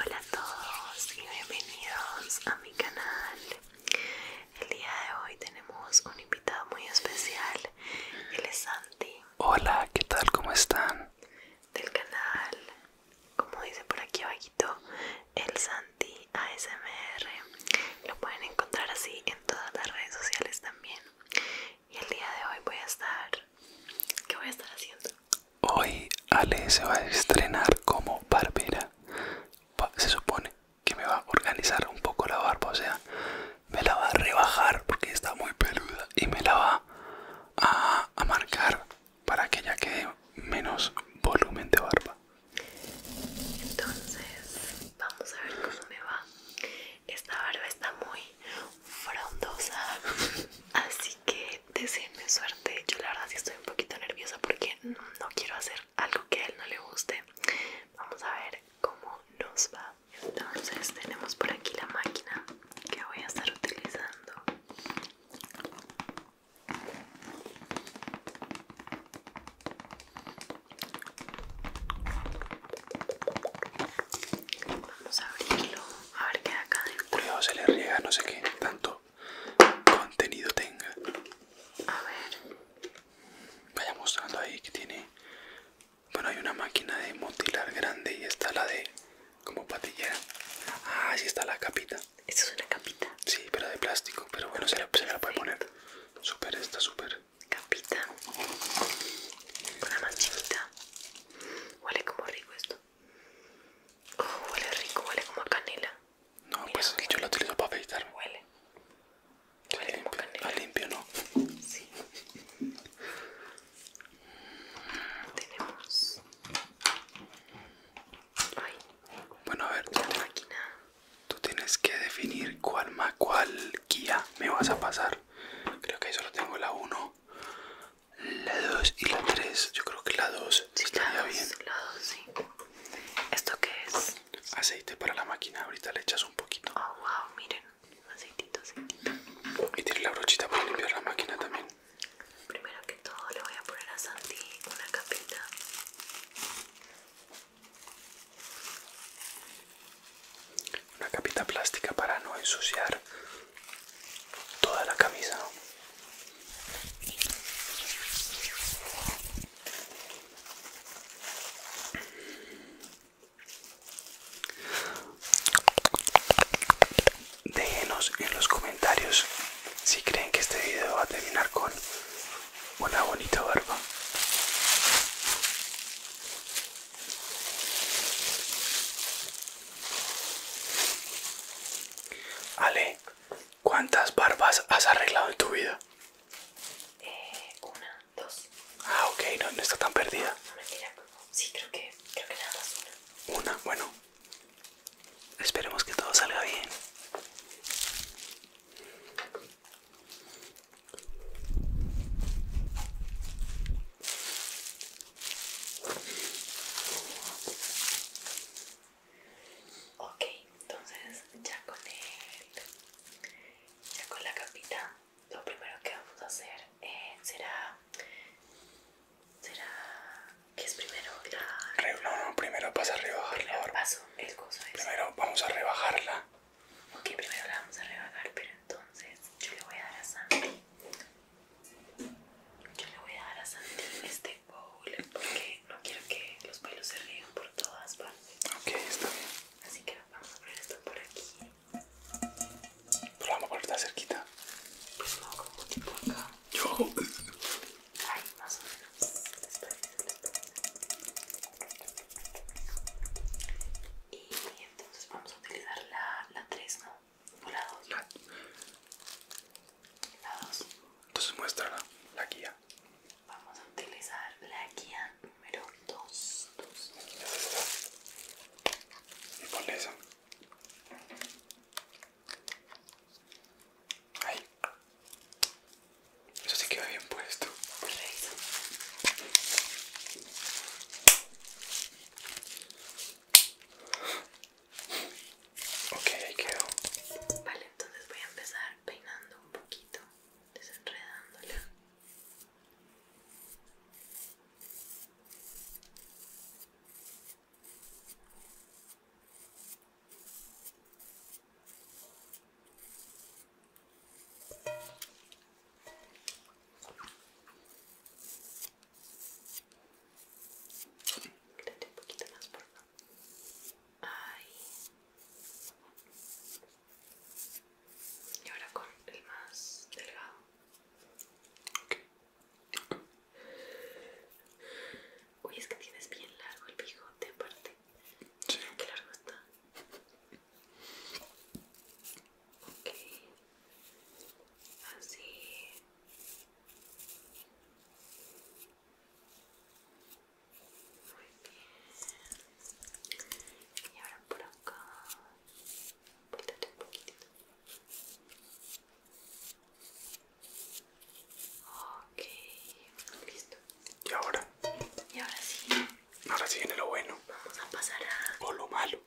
Hola a todos y bienvenidos a mi canal. El día de hoy tenemos un invitado muy especial, él es Santi. Hola, ¿qué tal? ¿Cómo están? Del canal, como dice por aquí abajito, el Santi ASMR. Lo pueden encontrar así en todas las redes sociales también. Y el día de hoy voy a estar... ¿Qué voy a estar haciendo? Hoy Ale se va a estrenar como barbera. Se supone que me va a organizar un poco la barba, o sea, me la va a rebajar porque está muy peluda y me la va a, a marcar para que ya quede menos volumen de barba. Entonces, vamos a ver cómo me va. Esta barba está muy frondosa así que deseenme suerte yo la verdad sí estoy un poquito nerviosa porque no quiero hacer algo que a él no le guste vamos a ver cómo nos va entonces tenemos por aquí la máquina que voy a estar utilizando Vamos a abrirlo, a ver qué hay acá Cuidado, se le riega, no sé qué tanto contenido tenga. A ver. Vaya mostrando ahí que tiene. Bueno, hay una máquina de motilar grande y está la de como patillera. Ah, sí está la capita. ¿Esto es una capita. Sí, pero de plástico. Pero bueno, se la, la puede poner. Súper está súper. Capita. Una la chiquita. Huele como rico esto. Oh, huele rico, huele como a canela. No, pues yo lo utilizo para afeitarme. Huele. Huele limpio, como canela. A limpio, ¿no? Sí. Tenemos. Bueno, a ver, tú, tú tienes que definir cuál, más, cuál guía me vas a pasar. Creo que ahí solo tengo la 1. La 2 y la 3, yo creo que la 2 sí, la bien. La 2, sí. ¿Esto qué es? Aceite para la máquina, ahorita le echas un poquito. Oh, wow, miren, aceitito, aceitito. Y tiene la brochita para limpiar la máquina también. Primero que todo le voy a poner a Santi una capita una capita plástica para no ensuciar toda la camisa déjenos en los comentarios si creen que este video va a terminar con una bonita barba Ale, ¿cuántas barbas has arreglado en tu vida? Eh, una, dos. Ah, ok, no, no está tan perdida. Sí, creo que, creo que una. Una, bueno. Esperemos que todo salga bien. Ok, entonces ya con el, ya con la capita, lo primero que vamos a hacer eh, será, será, ¿qué es primero? La, no, no, primero vas a rebajarla. Primero, paso, el coso primero vamos a rebajarla. Ok, primero la vamos a rebajar, pero entonces yo le voy a dar a Santi. Yo le voy a dar a Santi este bowl porque no quiero que los pelos se ríen por todas partes. Ok, está bien. Así que vamos a poner esto por aquí. Pero vamos a ponerla cerquita. Pues no, como tipo acá. Yo. Ay, más o menos. Y entonces vamos a utilizar la 3, ¿no? O la 2. La 2. entonces muéstrala, la guía. Vamos a utilizar la guía número 2. Y ponle esa. Ahí. Eso sí queda bien puesto. Perfecto. Ok, quedó. Vale, entonces voy a empezar peinando un poquito, desenredándola. Quédate un poquito más, por favor. Ahí. Y ahora con el más delgado. Uy, es que tienes bien largo el bigote aparte. Sí. Qué largo está ok así muy bien y ahora por acá volteate un poquitito ok listo y ahora y ahora sí ahora sí viene lo bueno vamos a pasar a o lo malo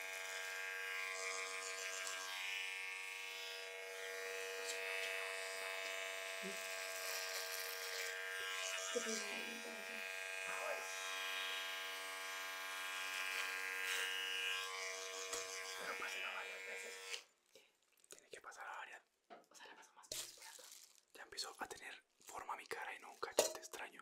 Pero pásenla varias veces. Tiene que pasar a varias. O sea, la paso más veces Ya empezó a tener forma mi cara y no un cachete extraño.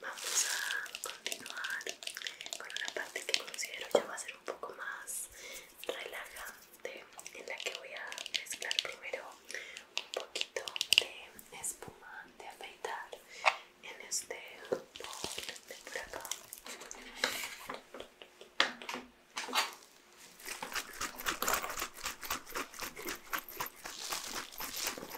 vamos a continuar con una parte que considero ya va a ser un poco más relajante en la que voy a mezclar primero un poquito de espuma de afeitar en este bol de por acá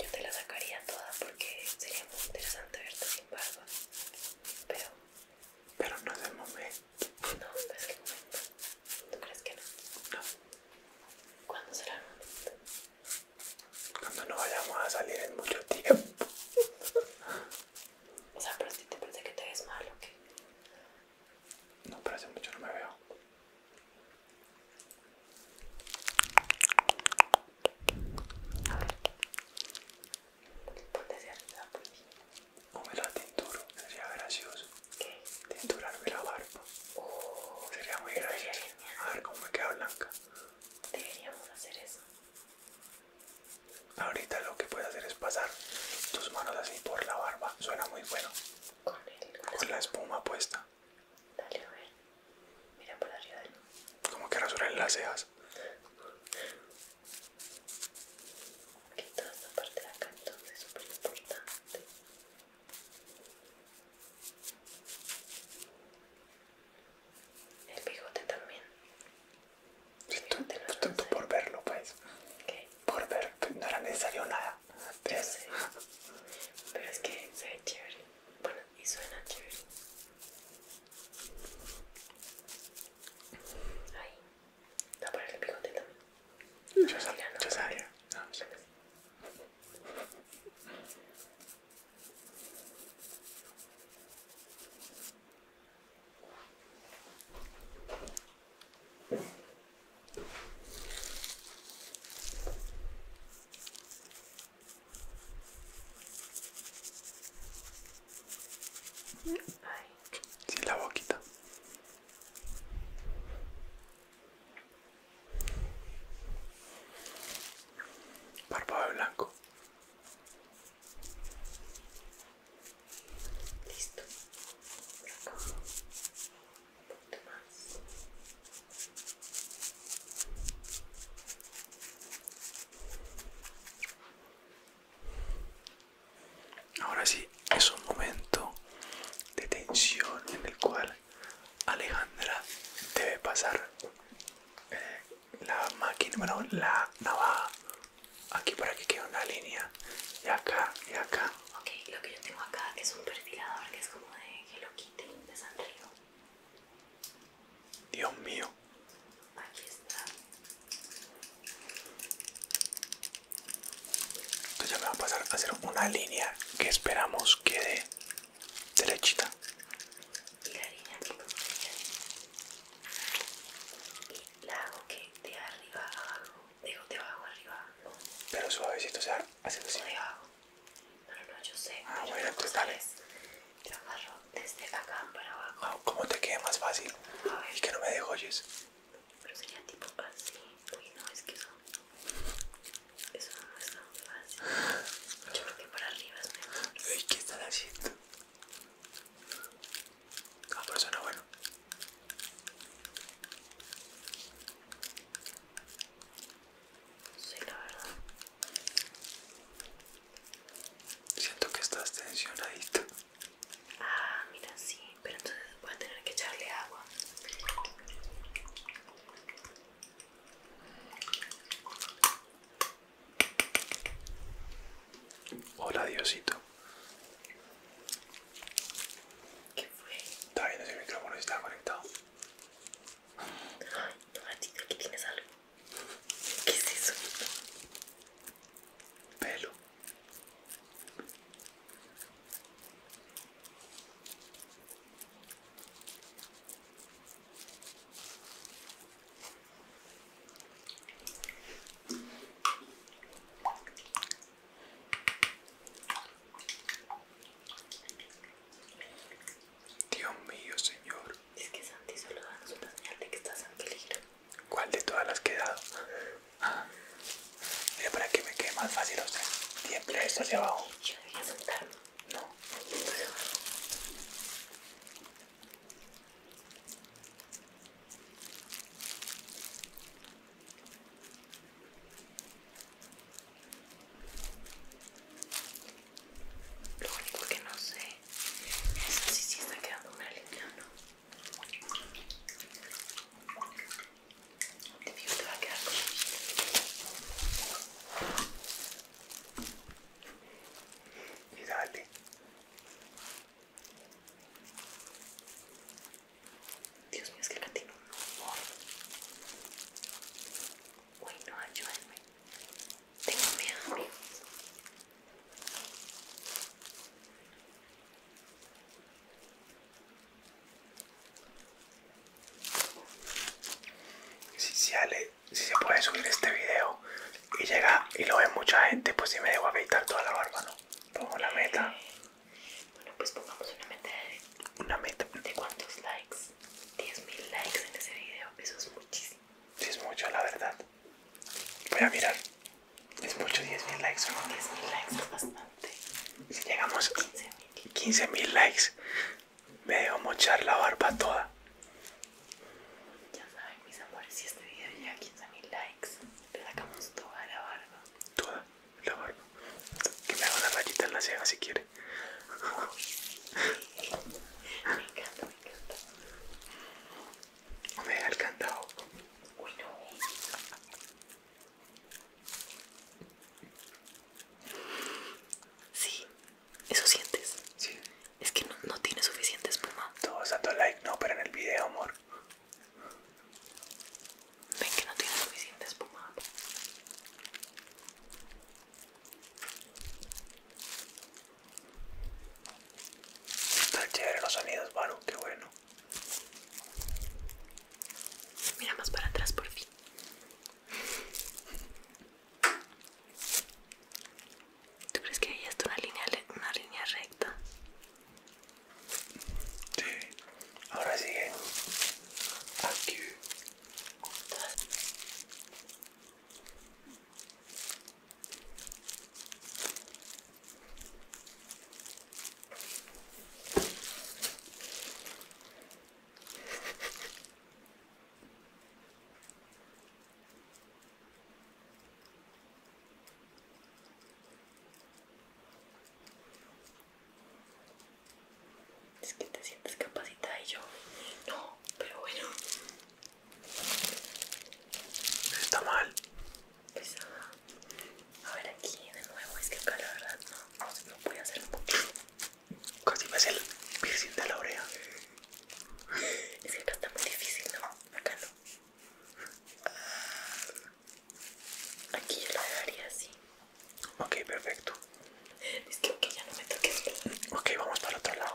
Yo te la sacaría toda porque sería muy interesante verte sin barba. Pero. Pero no es el momento. No, no es el momento. ¿Tú crees que no? No. ¿Cuándo será el momento? Cuando no vayamos a salir en mucho tiempo. O sea, pero si te parece que te ves mal o qué. No, pero hace mucho no me veo. A ver. Ponte hacia arriba, pues. O me la tinturo, sería gracioso. ¿Qué? Tinturarme la barba. sería muy gracioso. a ver cómo me queda blanca. Deberíamos hacer eso. Ahorita lo que puedes hacer es pasar tus manos así por la barba. Suena muy bueno. Con, la espuma puesta. Dale, a ver. Mira por arriba. Como que rasurar las cejas. Que toda esta parte de acá entonces es súper importante. El bigote también. Esto, pues, no tanto por verlo, pues. Por ver, pues, no era necesario nada. Pero es que se ve chévere. Bueno, y suena chévere. Ahí. No, para el bigote también. Yo, sabía, no, yo sabía. No, Sí, la boquita. barba blanco. Listo. Ahora sí, es un momento de tensión en el cual Alejandra debe pasar eh, la máquina, bueno, la navaja aquí para que quede una línea y acá y acá ok lo que yo tengo acá es un perfilador que es como de Hello Kitty de Sanrio Dios mío aquí está entonces ya me va a pasar a hacer una línea que esperamos quede derechita y la línea aquí y la hago que de arriba abajo, digo de abajo arriba, Pero suavecito, o sea, haciendo así. abajo. No, no, yo sé. Ah, bueno, Yo agarro desde acá para abajo. Ah, ¿Cómo te quede más fácil? A Y que no me dejo oyes Pero sería tipo así. Uy, no, es que eso. Eso no es tan fácil. Yo creo que para arriba es mejor. ¿qué están haciendo? Ah, pero suena bueno. Sí, la verdad. Siento que estás tensionadita. Ah, mira, sí, pero entonces voy a tener que echarle agua. Hola Diosito. ¿Qué Está bien, ese micrófono está conectado. no aquí ¿Qué es eso? Dios mío, Señor. Es que Santi solo danos una señal de que estás en peligro. ¿Cuál de todas las que he dado? mira, para que me quede más fácil O sea, Siempre esto hacia abajo. Yo debería sentarme. No. Lo único que no sé es si sí está quedando una línea o no. Te digo, te va a quedar como y dale Dios mío, es que la tiene un humor. Uy, no, ayúdenme. Tengo miedo, Si, si, si se puede subir este video y llega y lo ve mucha gente, pues si me debo afeitar toda la barba, ¿no? Pongo la meta. Bueno, pues pongamos una meta de... Una meta. ¿De cuántos likes? 10.000 likes en ese video, eso es muchísimo. Sí, es mucho, la verdad. Voy a mirar. Es mucho 10.000 likes. 10.000 likes es bastante. Si llegamos a 15.000 likes, me debo mochar la barba toda. Ya saben, mis amores, si este video llega a 15.000 likes, le sacamos toda la barba. Toda la barba. Que me haga la rayita en la ceja si quiere. me encanta, me encanta. Me ha encantado. Uy, no. Sí, eso sientes. Sí. Es que no, tiene suficiente espuma. todo dando like, no, pero en el video, amor. Ven que no tiene suficiente espuma. Están chéveres los sonidos, bueno qué bueno. Mira más para atrás por fin. ¿Tú crees que hay está una línea, una línea recta? Sí. Ahora sigue. Aquí. Es que te sientes capacitada y yo no, pero bueno. Está mal. Pues, a ver aquí de nuevo, es que acá la verdad no, no, puede hacer mucho. Casi me hace el piercing de la oreja. Es que acá está muy difícil, ¿no? Ah, aquí yo lo dejaría así. Ok, perfecto. Es que ya no me toques. Ok, vamos para el otro lado.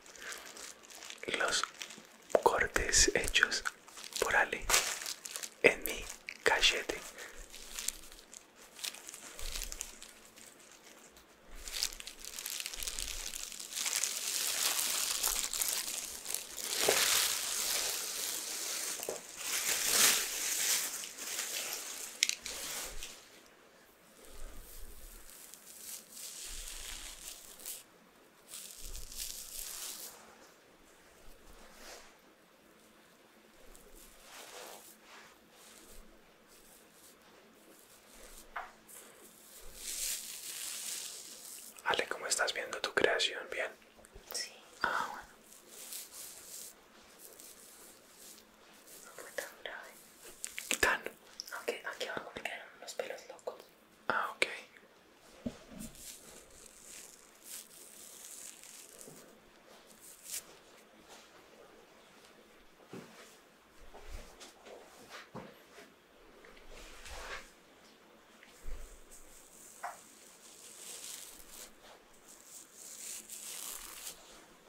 los cortes hechos por Ale en mi cachete. Ale, ¿cómo estás viendo tu creación? ¿Bien? Sí. Ah, bueno. No fue tan grave. ¿Qué tan? aquí abajo me quedaron unos pelos locos. Ah, ok.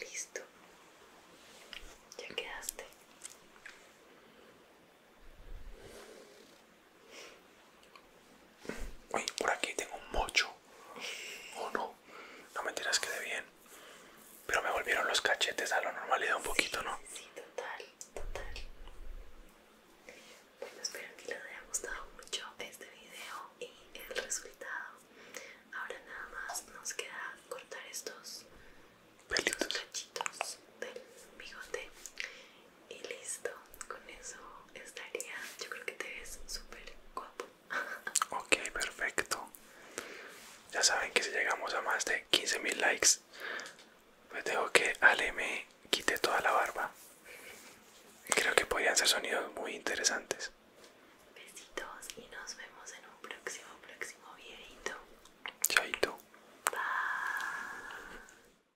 Listo. Ya quedaste. Uy, por aquí tengo un mocho. Oh no, no me tiras que de bien. Pero me volvieron los cachetes a la normalidad un poquito, ¿no? Sí, total, total. Bueno, espero que les haya gustado mucho este video y el resultado. Ahora nada más nos queda cortar estos, estos cachitos del bigote y listo con eso estaría yo creo que te ves súper guapo ok perfecto ya saben que si llegamos a más de 15.000 likes pues dejo que Ale me quite toda la barba creo que podrían ser sonidos muy interesantes besitos y nos vemos en un próximo próximo videito chaito bye